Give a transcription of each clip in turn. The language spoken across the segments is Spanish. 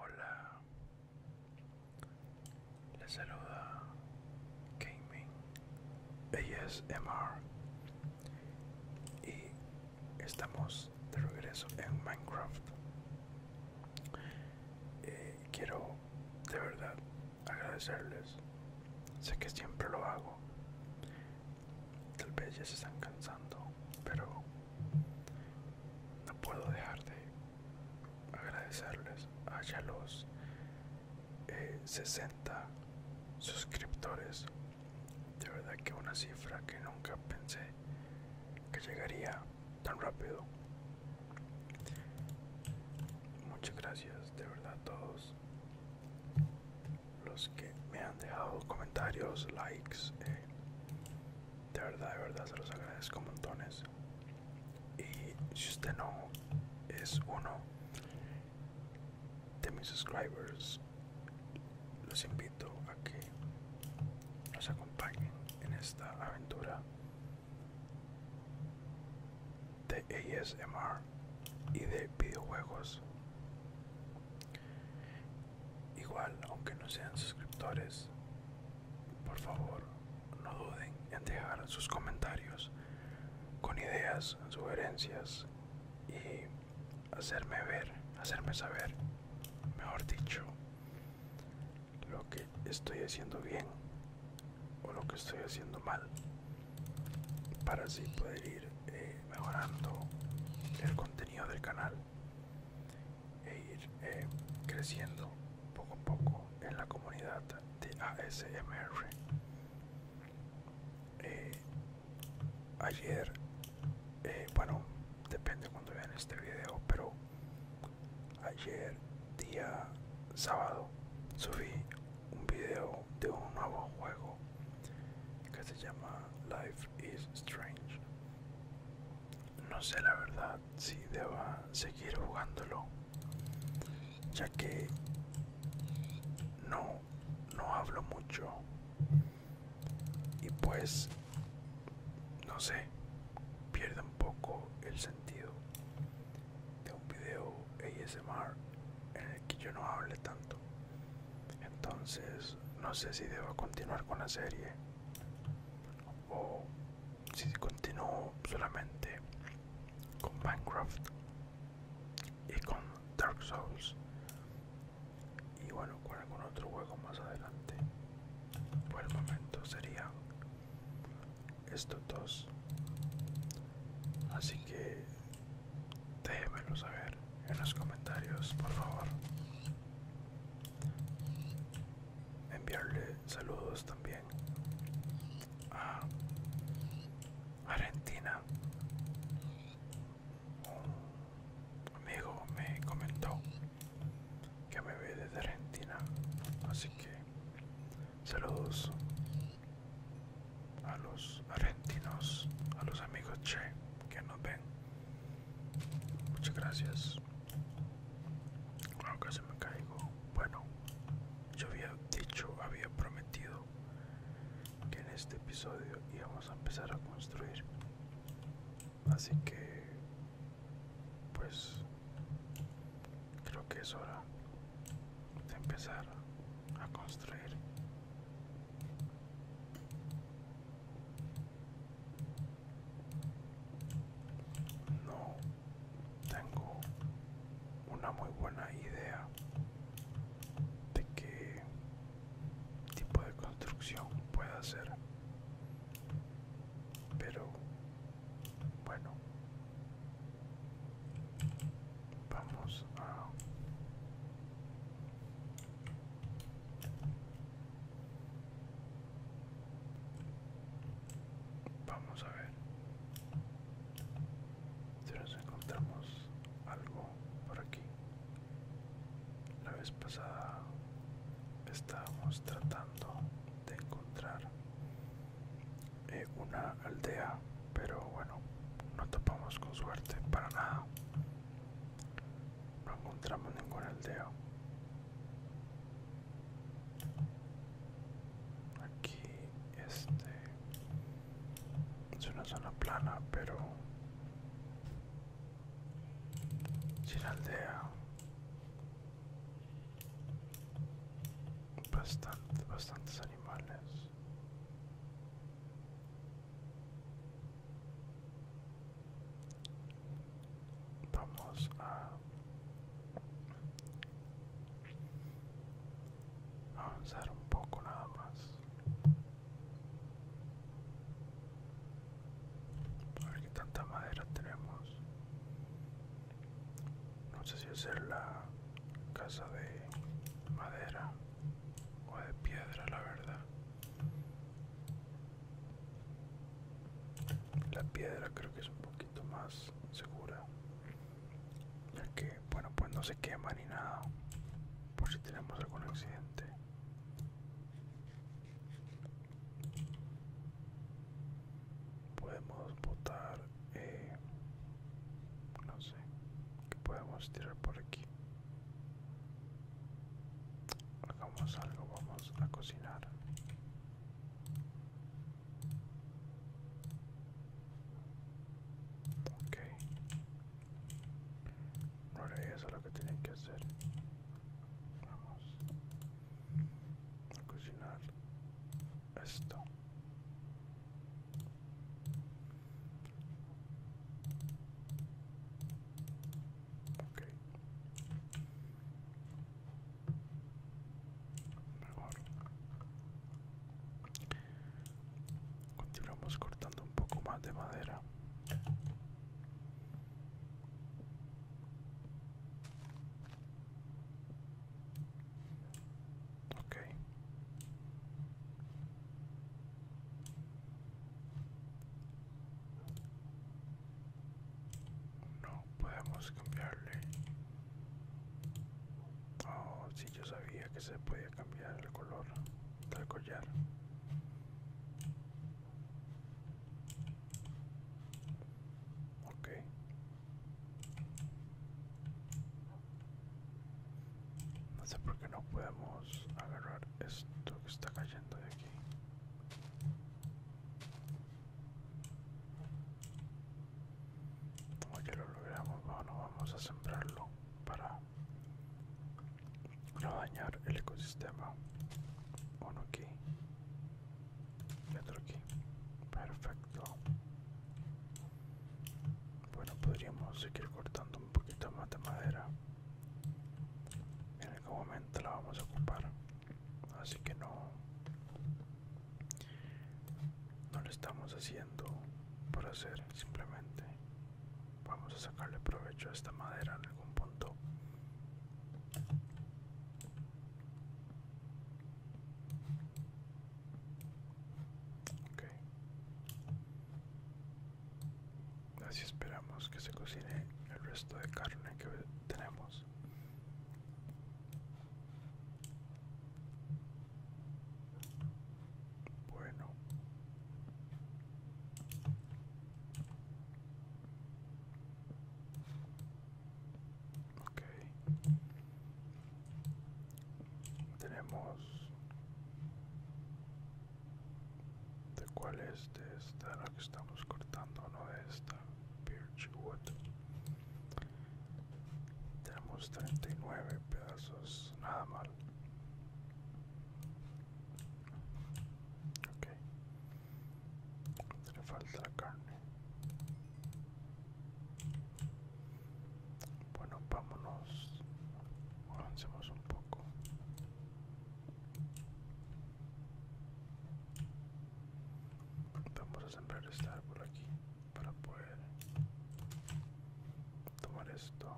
Hola, les saluda Gaming MR y estamos de regreso en Minecraft. Eh, quiero de verdad agradecerles, sé que siempre lo hago, Tal vez ya se están cansando, pero no puedo dejar de agradecerles a los 60 eh, suscriptores. De verdad que una cifra que nunca pensé que llegaría tan rápido. Muchas gracias de verdad a todos los que me han dejado comentarios, likes. Eh, de verdad, de verdad, se los agradezco montones. Y si usted no es uno de mis subscribers, los invito a que nos acompañen en esta aventura de ASMR y de videojuegos Igual, aunque no sean suscriptores, por favor, no duden en dejar sus comentarios con ideas, sugerencias y hacerme ver, hacerme saber, mejor dicho, lo que estoy haciendo bien o lo que estoy haciendo mal, para así poder ir eh, mejorando el contenido del canal e ir eh, creciendo poco a poco en la comunidad de ASMR. Eh, ayer, bueno, depende cuando vean este video, pero ayer día sábado subí un video de un nuevo juego que se llama Life is Strange. No sé la verdad si deba seguir jugándolo, ya que no, no hablo mucho y pues no sé, pierde un poco el sentido de un video ASMR en el que yo no hable tanto. Entonces no sé si debo continuar con la serie o si continúo solamente con Minecraft y con Dark Souls y bueno con algún otro juego más adelante. Por el momento serían estos dos. Así que Déjenmelo saber en los comentarios, por favor. Enviarle saludos también a Argentina. Un amigo me comentó que me ve desde Argentina, así que saludos a los argentinos, a los amigos Che que nos ven. Muchas gracias. Bueno, casi me caigo. Bueno, yo había dicho, había prometido que en este episodio íbamos a empezar a construir. Así que, pues, creo que es hora de empezar a construir no tengo una muy buena idea de qué tipo de construcción pueda hacer pero bueno Vamos a... Vamos a ver si nos encontramos algo por aquí. La vez pasada estábamos tratando de encontrar eh, una aldea, pero bueno, no topamos con suerte para nada. No encontramos ninguna aldea. Aquí este es una zona plana, pero sin aldea. Bastante, bastante Vamos a avanzar un poco nada más. A ver qué tanta madera tenemos no sé si hacer la casa de madera o de piedra la verdad la piedra creo que es un poquito más segura ya que bueno pues no se quema ni nada por si tenemos algún accidente podemos botar eh, no sé qué podemos tirar por aquí hagamos algo vamos a cocinar ok ahora eso es lo que tienen que hacer vamos a cocinar esto. Okay. Mejor. Continuamos cortando un poco más de madera. No podemos cambiarle. Oh, si yo sabía que se podía cambiar el color del collar. Ok, no sé por qué no podemos agarrar esto que está cayendo de aquí. Como ya lo logramos, vamos a sembrarlo para no dañar el ecosistema. Uno aquí y aquí perfecto bueno podríamos seguir cortando un poquito más de madera en algún momento la vamos a ocupar así que no no lo estamos haciendo por hacer simplemente vamos a sacarle provecho a esta madera en algún punto Así esperamos que se cocine el resto de carne que tenemos. Bueno. Tenemos... ¿De cuál es? De esta, la que estamos cortando, no de esta. Birchwood. Tenemos 39 pedazos, nada mal le falta la carne bueno vámonos avancemos un poco vamos a sembrar este árbol aquí para poder tomar esto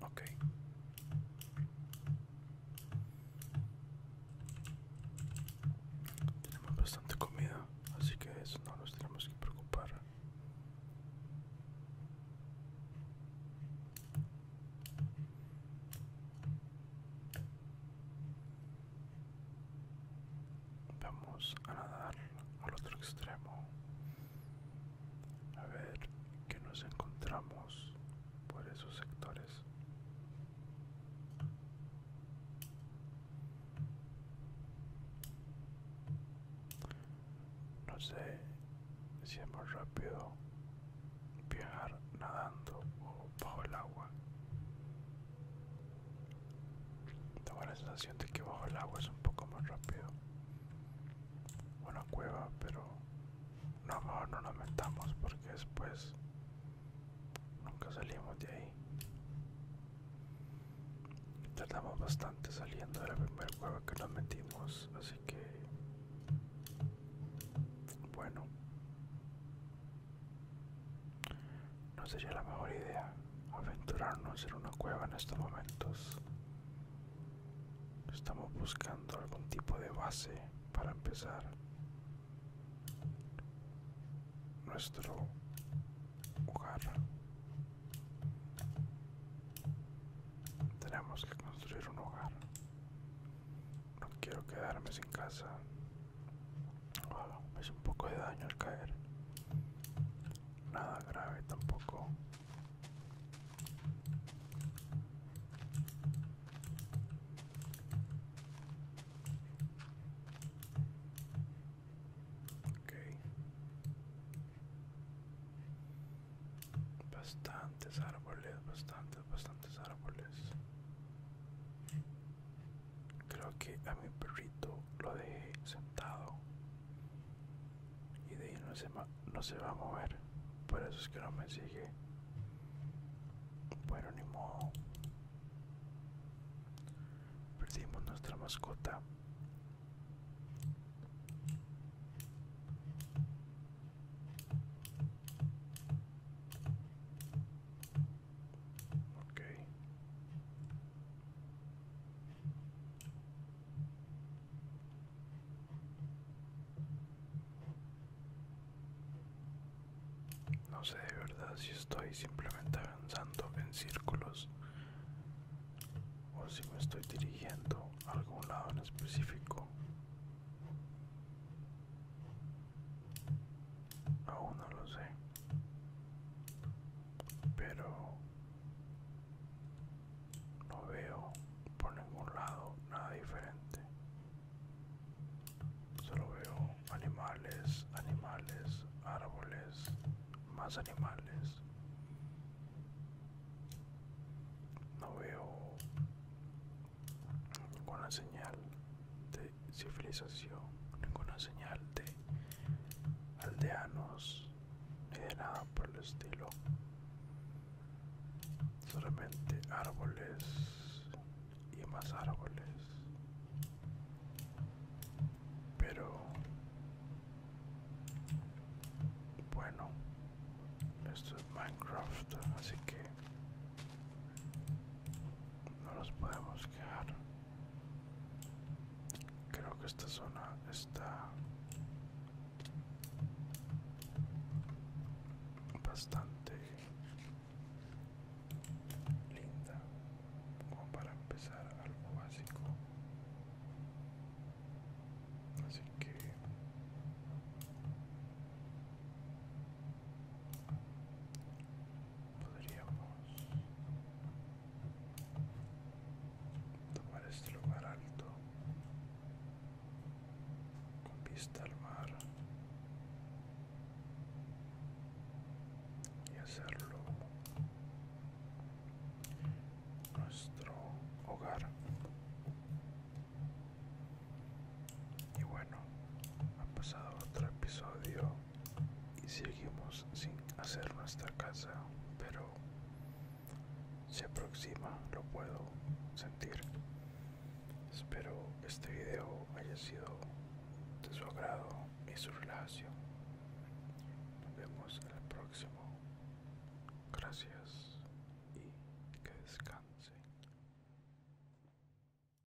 Ok. Tenemos bastante comida, así que eso no nos tenemos que preocupar. Vamos a nadar al otro extremo a ver qué nos encontramos por esos sectores no sé si es más rápido viajar nadando o bajo el agua tengo la sensación de que bajo el agua es un poco más rápido una cueva, pero no, mejor no nos metamos porque después nunca salimos de ahí. Tardamos bastante saliendo de la primera cueva que nos metimos, así que bueno, no sería la mejor idea aventurarnos en una cueva en estos momentos. Estamos buscando algún tipo de base para empezar. Nuestro hogar. Tenemos que construir un hogar. No quiero quedarme sin casa. Oh, me un poco de daño al caer nada grave tampoco. Bastantes árboles, bastantes, bastantes árboles. Creo que a mi perrito lo dejé sentado y de ahí no se, no se va a mover por eso es que no me sigue bueno ni modo perdimos nuestra mascota Okay. No sé de verdad si estoy simplemente avanzando en círculos o si me estoy dirigiendo a algún lado en específico. Aún no lo sé. Pero no veo por ningún lado nada diferente. Solo veo animales, animales, árboles, más animales. No veo ninguna señal de civilización, ninguna señal de aldeanos ni de nada por el estilo. Solamente árboles y más árboles. Pero bueno, esto es Minecraft, así que no nos podemos quedar Creo que esta zona está bastante linda como para empezar algo básico así que podríamos tomar este lugar alto con vista al mar y hacerlo nuestro hogar y bueno ha pasado otro episodio y seguimos sin hacer nuestra casa, pero se aproxima, lo puedo sentir. Espero este video haya sido de su agrado y su relajación. Nos vemos en el próximo. Gracias y que descanse.